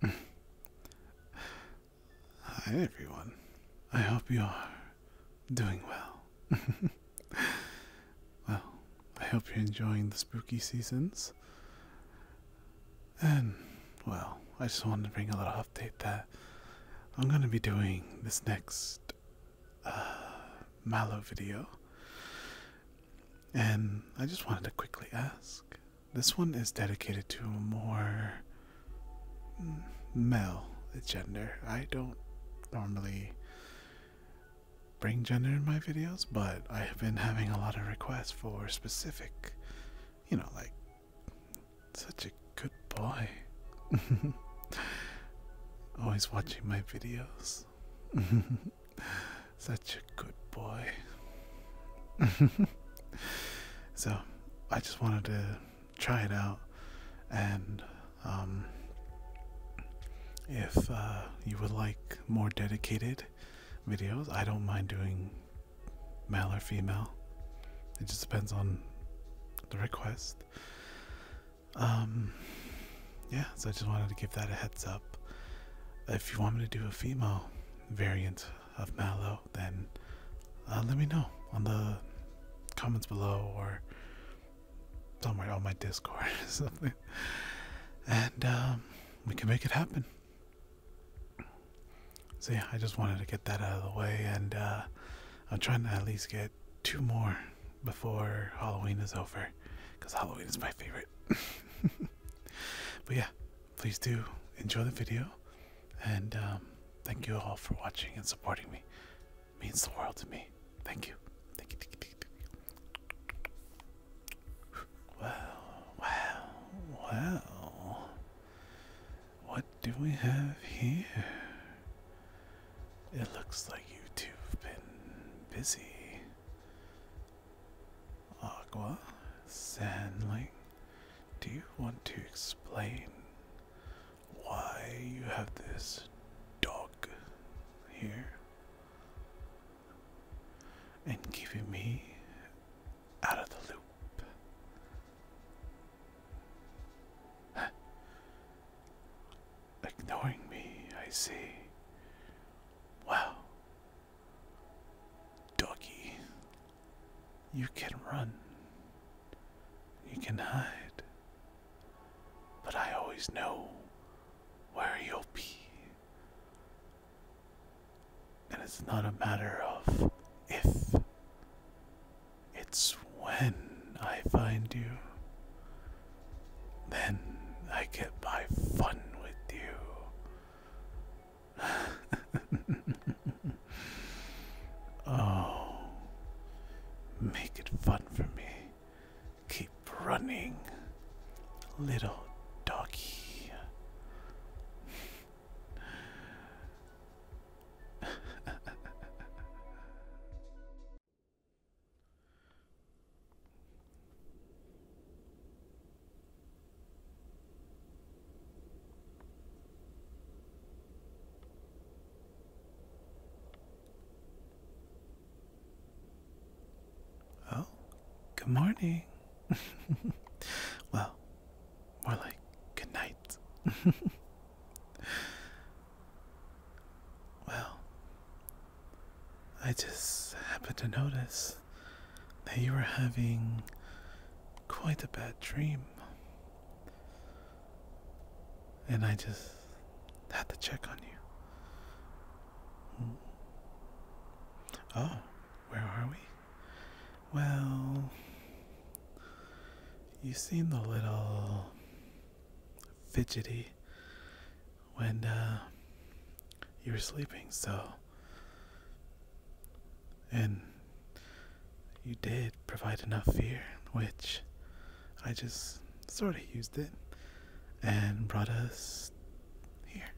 Hi, everyone. I hope you are doing well. well, I hope you're enjoying the spooky seasons. And, well, I just wanted to bring a little update that I'm going to be doing this next uh, Mallow video. And I just wanted to quickly ask this one is dedicated to a more male gender. I don't normally bring gender in my videos, but I have been having a lot of requests for specific, you know, like such a good boy. Always watching my videos. Such a good boy. so, I just wanted to try it out, and um, if uh, you would like more dedicated videos, I don't mind doing male or female. It just depends on the request. Um, yeah, so I just wanted to give that a heads up. If you want me to do a female variant of Mallow, then uh, let me know on the comments below or somewhere on my Discord or something. And um, we can make it happen. See, I just wanted to get that out of the way, and uh, I'm trying to at least get two more before Halloween is over, because Halloween is my favorite. but yeah, please do enjoy the video and um, thank you all for watching and supporting me it means the world to me thank you thank you, thank what do we have here it looks like you've been busy Agua Sandling, do you want to explain why you have this dog here and keeping me out of the loop? Ignoring me, I see. Wow, Doggy, you can run, you can hide, but I always know where you'll be. And it's not a matter of if, it's when I find you. Then I get my fun with you. oh, make it fun for me. Keep running, little doggy. Oh, good morning. well, more like good night. well, I just happened to notice that you were having quite a bad dream. And I just had to check on you. Oh, where are we? Well, you seemed a little fidgety when uh, you were sleeping, so and you did provide enough fear, which I just sort of used it and brought us here.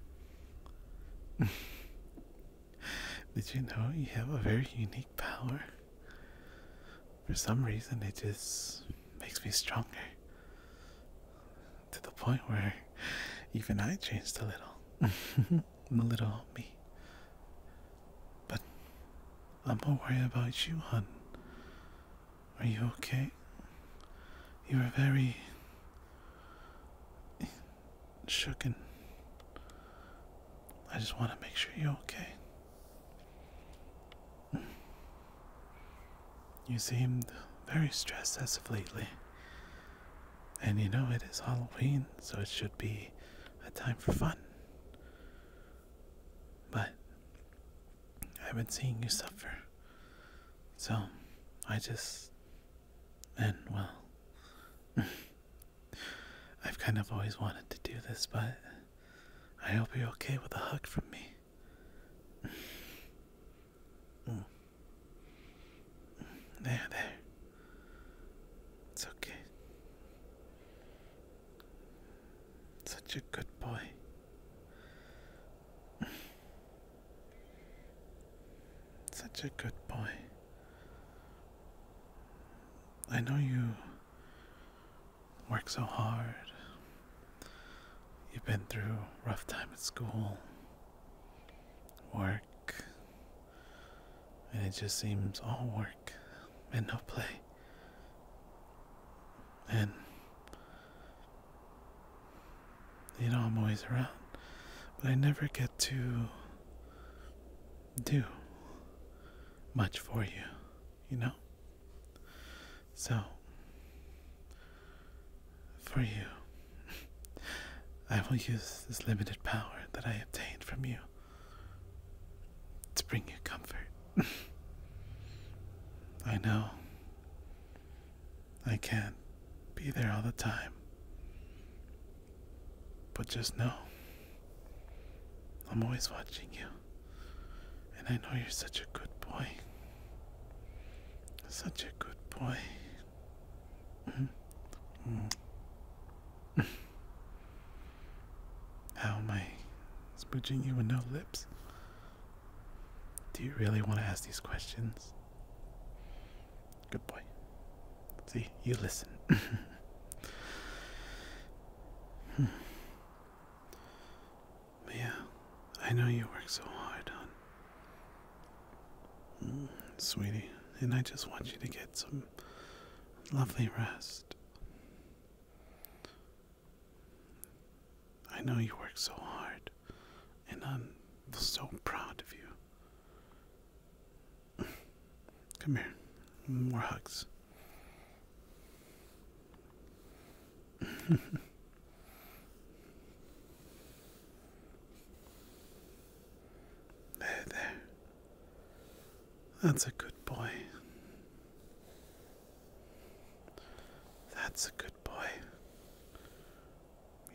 did you know you have a very unique power? For some reason, it just makes me stronger. To the point where even I changed a little. A little me. But I'm more worried about you, hon. Are you okay? You were very shooken. I just want to make sure you're okay. You seemed very stressed as of lately. And you know, it is Halloween, so it should be a time for fun. But I've been seeing you suffer. So I just. And, well. I've kind of always wanted to do this, but I hope you're okay with a hug from me. Mm. There, there. It's okay. Such a good boy. Such a good boy. I know you work so hard. You've been through rough time at school work. And it just seems all work and no play. And you know I'm always around, but I never get to do much for you, you know? So for you I will use this limited power that I obtained from you to bring you comfort. I know I can't be there all the time, but just know I'm always watching you, and I know you're such a good boy. Such a good boy. Mm-hmm. How am I smooching you with no lips? Do you really want to ask these questions? Good boy. See, you listen. Hmm. yeah, I know you work so hard on Mm, sweetie, and I just want you to get some lovely rest. I know you work so hard, and I'm so proud of you. Come here, more hugs. There, there. That's a good boy. That's a good boy.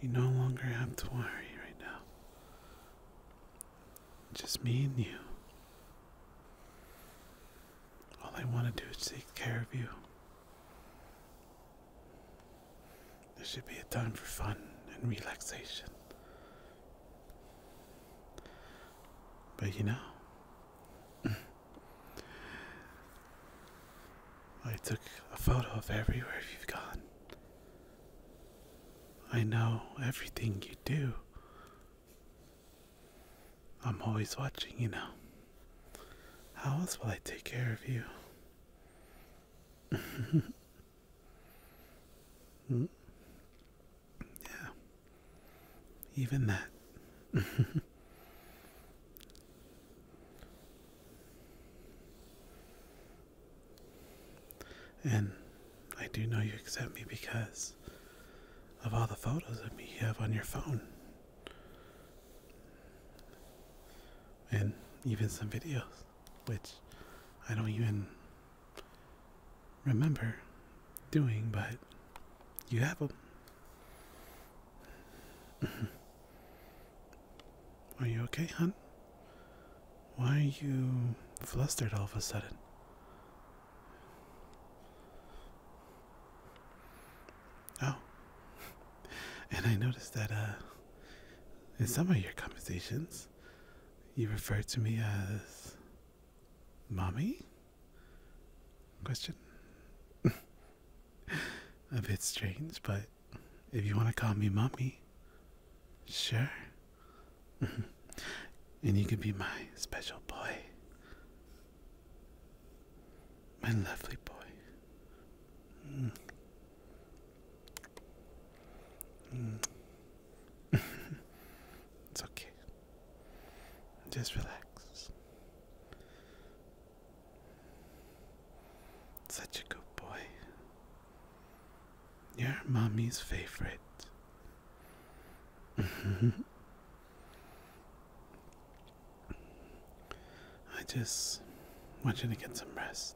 You no longer have to worry right now. Just me and you. All I want to do is take care of you. There should be a time for fun and relaxation. But you know, I took a photo of everywhere you've gone. I know everything you do. I'm always watching, you know. How else will I take care of you? Mm. Yeah. Even that. and I do know you accept me because of all the photos of me you have on your phone. And even some videos which I don't even remember doing, but you have them. are you okay, hun? Why are you flustered all of a sudden? Oh, and I noticed that uh, in some of your conversations, you refer to me as mommy? Question. A bit strange, but if you want to call me mommy, sure. and you can be my special boy. My lovely boy. Mm. it's okay. Just relax. Such a good boy. You're mommy's favorite. I just want you to get some rest.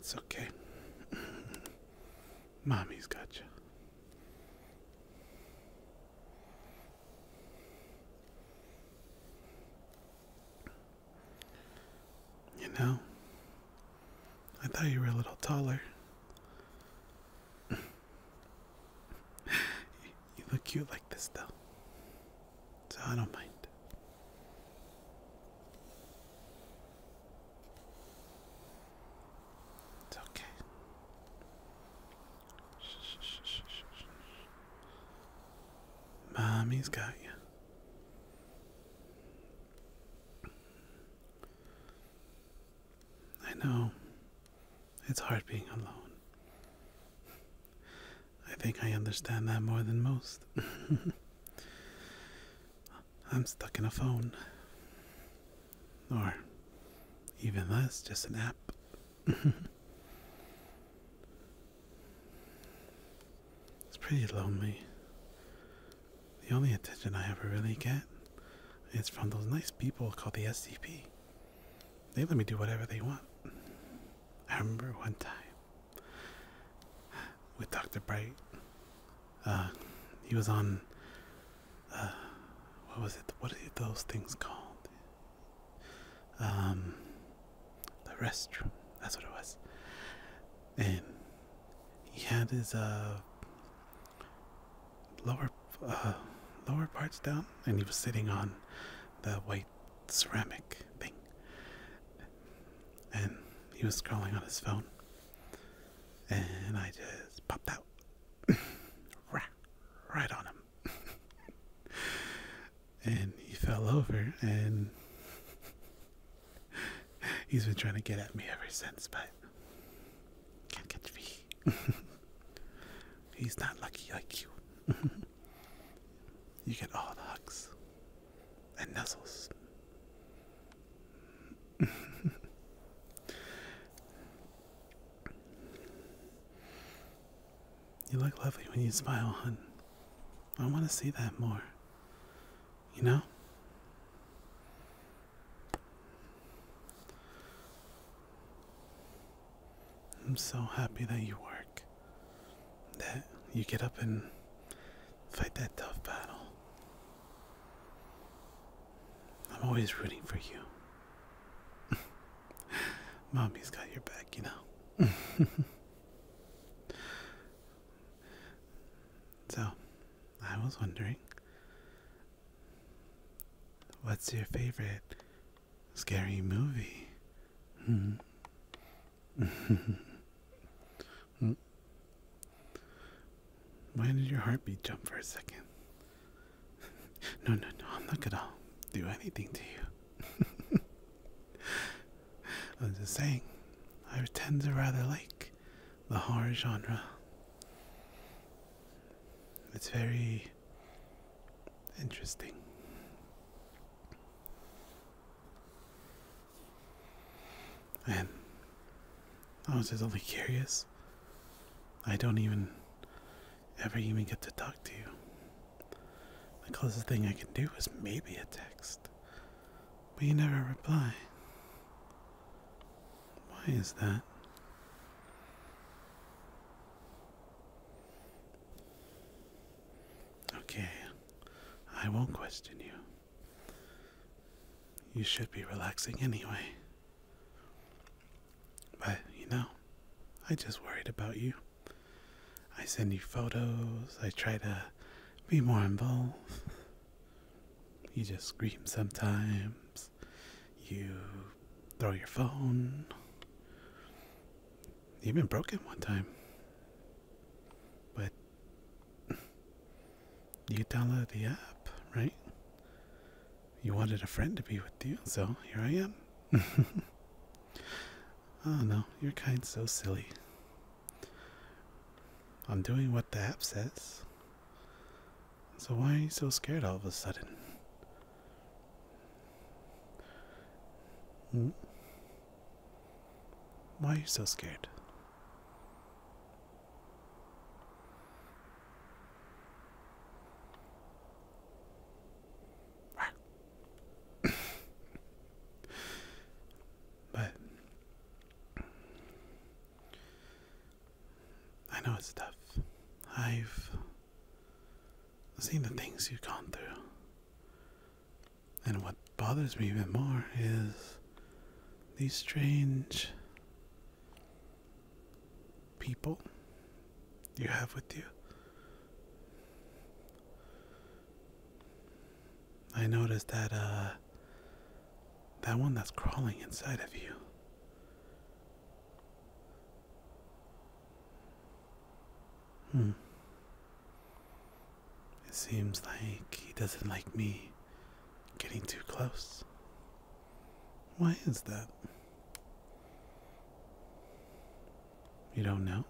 It's okay. Mommy's got you. You know, I thought you were a little taller. you look cute like this, though. So I don't mind. It's okay. Shh, shh, shh, shh, shh. Mommy's got you. I know. It's hard being alone. I think I understand that more than most. I'm stuck in a phone. Or even less, just an app. it's pretty lonely. The only attention I ever really get is from those nice people called the SCP. They let me do whatever they want. I remember one time with Dr. Bright. Uh, he was on. Uh, what was it? What are those things called? Um, the restroom. That's what it was. And he had his uh, lower uh, lower parts down, and he was sitting on the white ceramic thing, and he was scrolling on his phone, and I just popped out, right on him, and he fell over, and He's been trying to get at me ever since, but can't catch me. He's not lucky like you. you get all the hugs and nuzzles. you look lovely when you smile, hun. I want to see that more. You know? I'm so happy that you work, that you get up and fight that tough battle. I'm always rooting for you. Mommy's got your back, you know. So, I was wondering, what's your favorite scary movie? Hmm. Why did your heartbeat jump for a second? no, no, no, I'm not gonna do anything to you. I'm just saying, I tend to rather like the horror genre. It's very interesting. And I was just only curious. I don't even ever even get to talk to you. The closest thing I can do is maybe a text, but you never reply. Why is that? Okay, I won't question you. You should be relaxing anyway. But, you know, I just worried about you. I send you photos, I try to be more involved. You just scream sometimes. You throw your phone. You even broke it one time. But you downloaded the app, right? You wanted a friend to be with you, so here I am. oh no, you're kind so silly. I'm doing what the app says. So why are you so scared all of a sudden? Hmm? Why are you so scared? but I know it's tough. I've seen the things you've gone through. And what bothers me even more is these strange people you have with you. I noticed that uh, that one that's crawling inside of you. Hmm. It seems like he doesn't like me getting too close. Why is that? You don't know?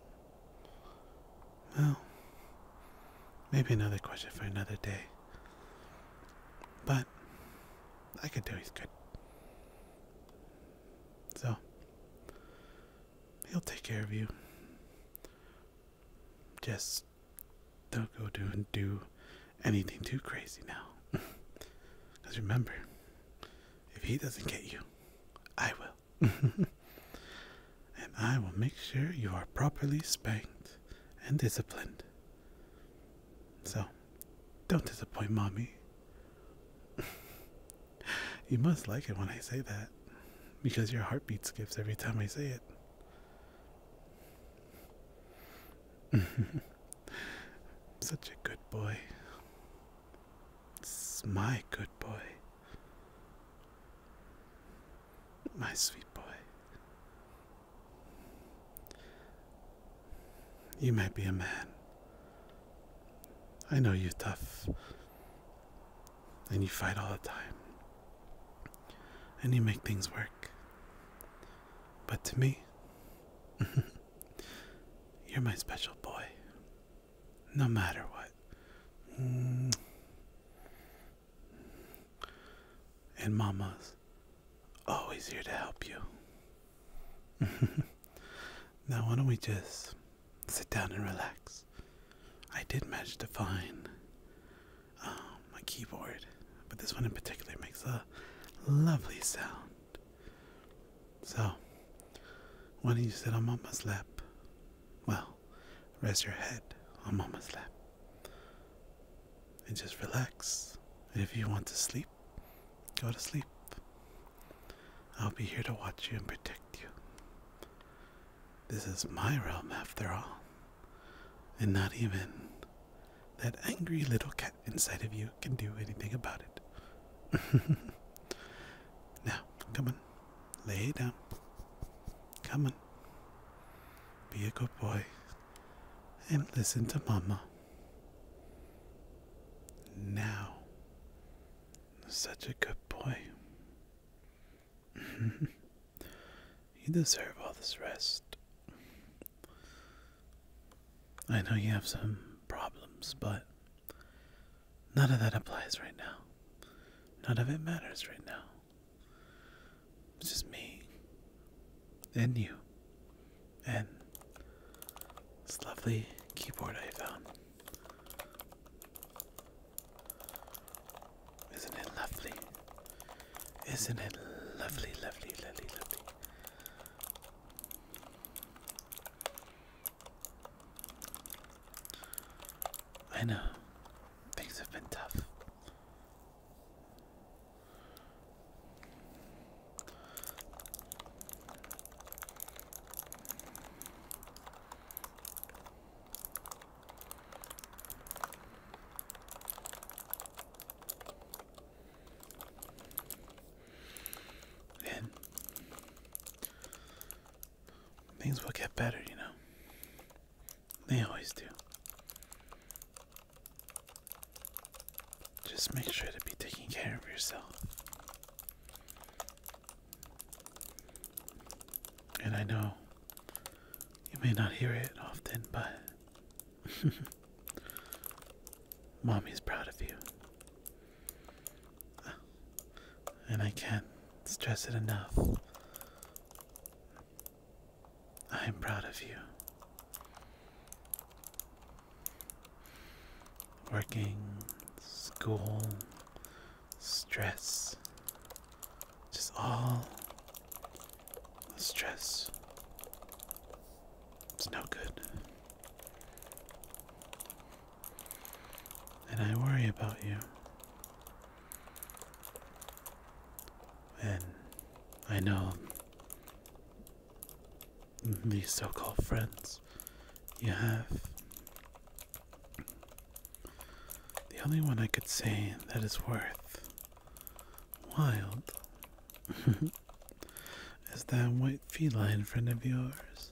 Well, maybe another question for another day. But I could tell he's good. So he'll take care of you. Just don't go do and do anything too crazy now. Cause remember, if he doesn't get you, I will. and I will make sure you are properly spanked and disciplined. So, don't disappoint mommy. you must like it when I say that, because your heartbeat skips every time I say it. Such a good boy. It's my good boy. My sweet boy. You may be a man. I know you're tough. And you fight all the time. And you make things work. But to me, you're my special boy. No matter what and Mama's always here to help you. now, why don't we just sit down and relax? I did manage to find my um, keyboard, but this one in particular makes a lovely sound. So, why don't you sit on Mama's lap? Well, rest your head on Mama's lap and just relax. And if you want to sleep, go to sleep. I'll be here to watch you and protect you. This is my realm after all. And not even that angry little cat inside of you can do anything about it. now, come on. Lay down. Come on. Be a good boy and listen to Mama. Now, such a good boy. you deserve all this rest. I know you have some problems, but none of that applies right now. None of it matters right now. It's just me and you and this lovely keyboard I found. Isn't it lovely? Isn't it lovely, lovely, lovely, lovely? I know things have been tough. Then things will get better, you know. They always do. Just make sure to be taking care of yourself. And I know you may not hear it often, but mommy's proud of you. And I can't stress it enough. I am proud of you. Working, school, stress, just all stress. It's no good. And I worry about you. And I know Mm-hmm. these so called friends you have. The only one I could say that is worth wild is that white feline friend of yours.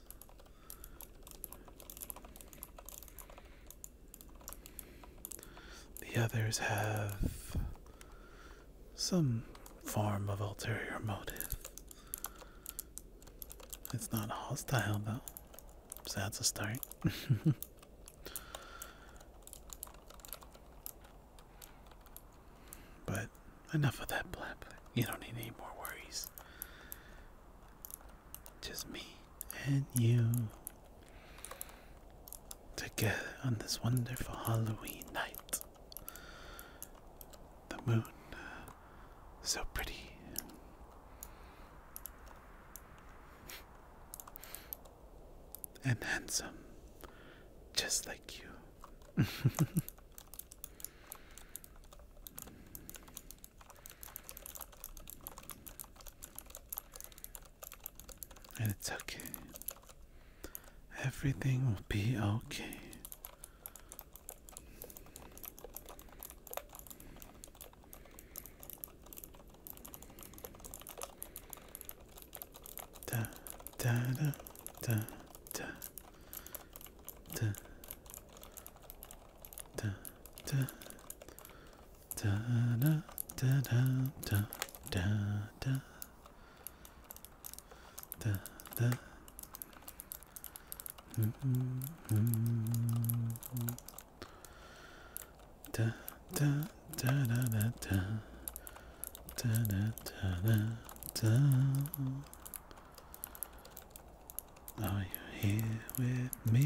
The others have some form of ulterior motive. It's not hostile, though, so that's a start. but enough of that blab. You don't need any more worries. Just me and you together on this wonderful Halloween night. The moon, uh, so pretty. And handsome, just like you. And it's okay. Everything will be okay. Da da da da da da da da da da da da da da da, da. Mm -hmm. da, da, da, da, da, da. Da, da, da, da, da. Are you here with me?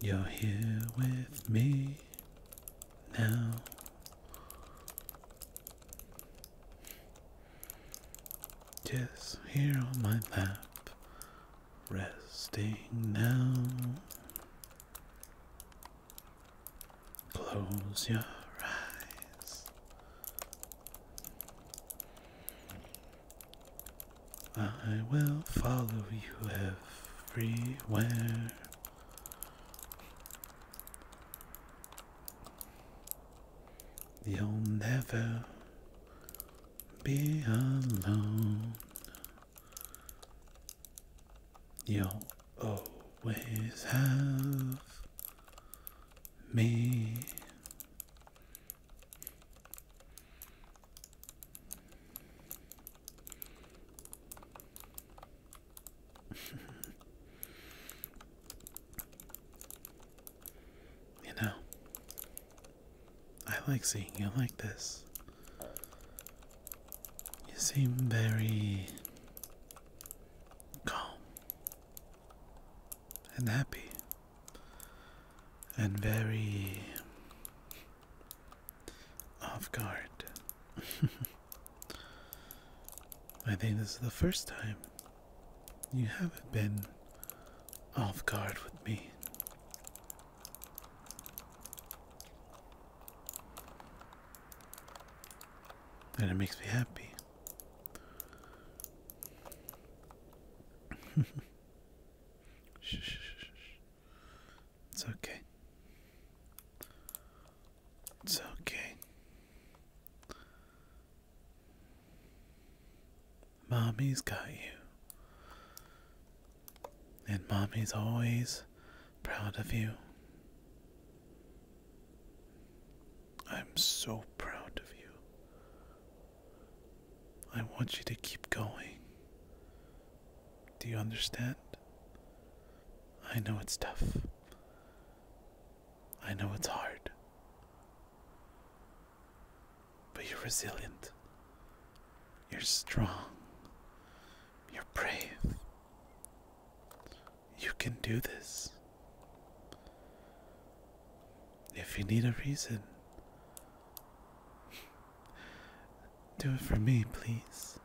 You're here with me now. Just here on my lap, resting now. Close your eyes. I will follow you everywhere. You'll never be alone. You'll always have me. you know, I like seeing you like this. You seem very calm and happy and very off guard. I think this is the first time you haven't been off guard with me. And it makes me happy. Shh, shh, shh, It's okay. It's okay. Mommy's got you. And mommy's always proud of you. I'm so proud of you. I want you to keep going. Do you understand? I know it's tough. I know it's hard. But you're resilient. You're strong. You're brave. You can do this if you need a reason. Do it for me, please.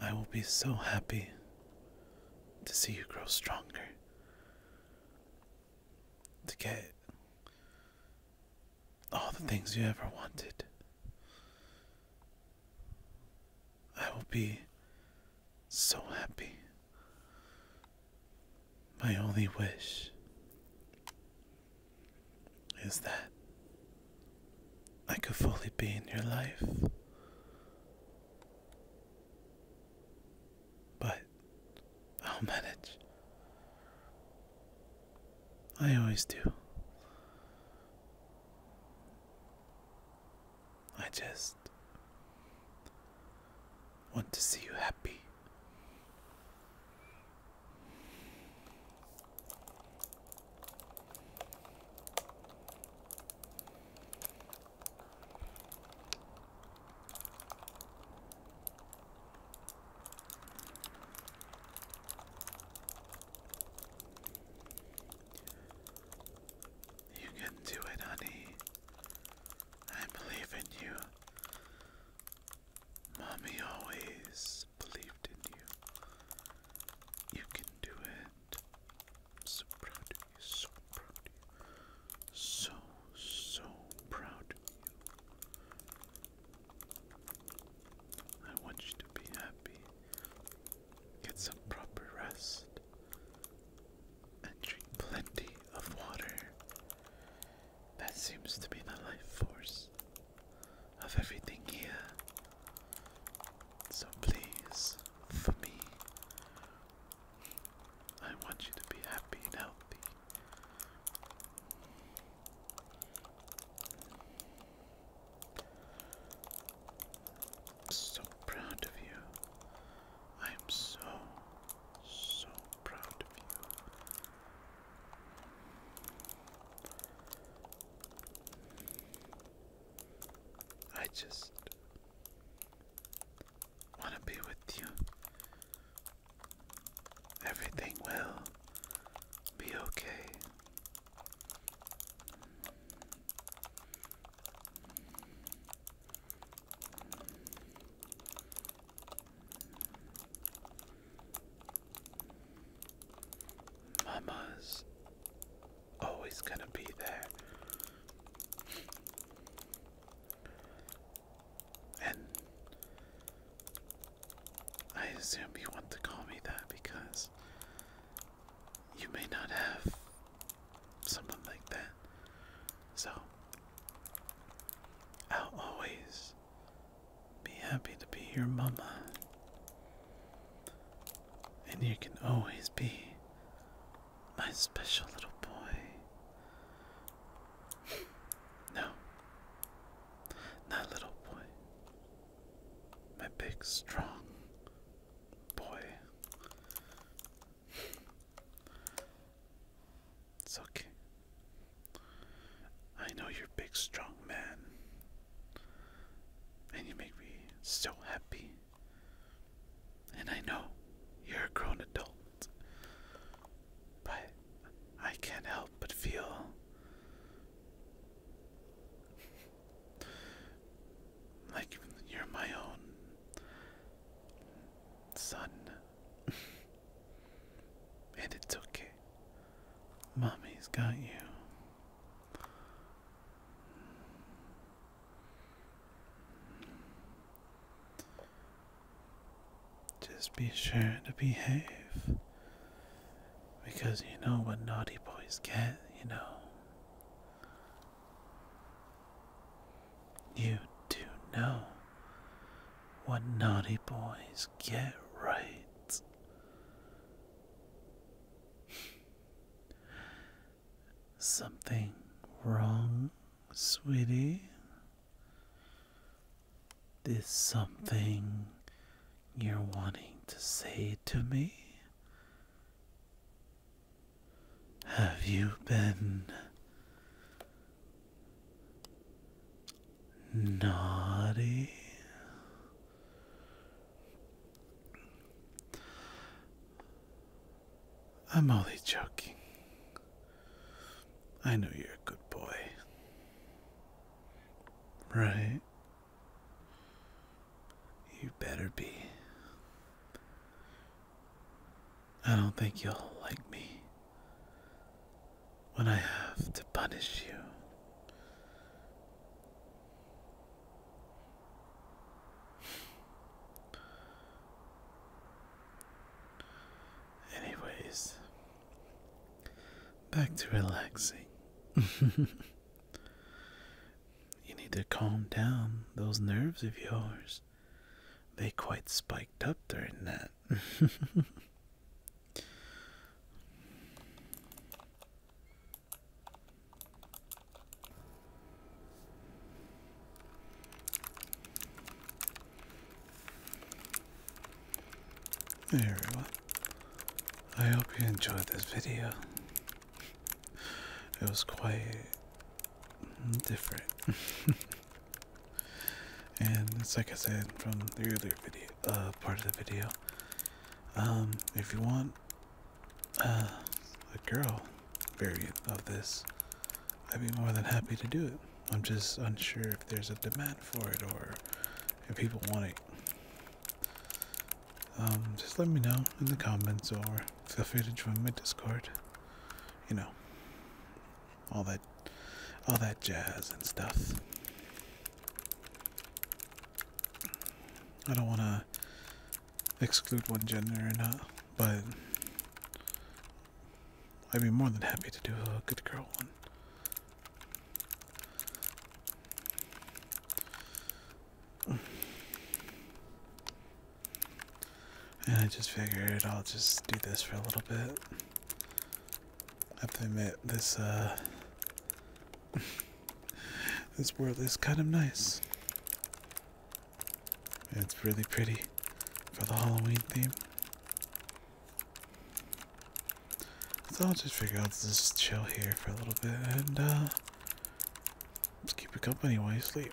I will be so happy to see you grow stronger. To get all the things you ever wanted. I will be so happy my only wish is that I could fully be in your life. But I'll manage. I always do. I just want to see you happy. You can do it, honey. I believe in you. Mommy always believed in you. You can do it. I'm so proud of you, so proud of you. So, so proud of you. I want you to be happy. Get some proper rest. And drink plenty of water. That seems to be the life force of everything here. So please, for me, I want you to be happy and healthy. so proud of you I am so, so proud of you. I just want to be with you. Everything will be okay. Mama's always gonna be there. And I assume you want to call me that because you may not have someone like that. So, I'll always be happy to be your mama. And you can always be my special little boy. No, not little boy. My big, strong boy. It's okay. I know you're big, strong man, and you make me so happy. And I know you're a grown adult, but I can't help but feel like you're my own son. And it's okay. Mommy's got you. Just be sure to behave. Because you know what naughty boys get, you know. You do know what naughty boys get right. Something wrong, sweetie? Is something you're wanting to say to me? Have you been Naughty. I'm only joking. I know you're a good boy. Right? You better be. I don't think you'll like me when I have to punish you. Anyways, back to relaxing. you need to calm down those nerves of yours. They quite spiked up during that. Hey everyone, I hope you enjoyed this video. It was quite different. And it's like I said from the earlier video, uh, part of the video. Um, if you want uh, a girl variant of this, I'd be more than happy to do it. I'm just unsure if there's a demand for it or if people want it. Um, just let me know in the comments or feel free to join my Discord. You know, all that all that jazz and stuff. I don't want to exclude one gender or not, but I'd be more than happy to do a good girl one. And I just figured I'll just do this for a little bit. I have to admit, this, uh, this world is kind of nice. it's really pretty for the Halloween theme. So I'll just figure out to just chill here for a little bit and, uh, just keep you company while you sleep.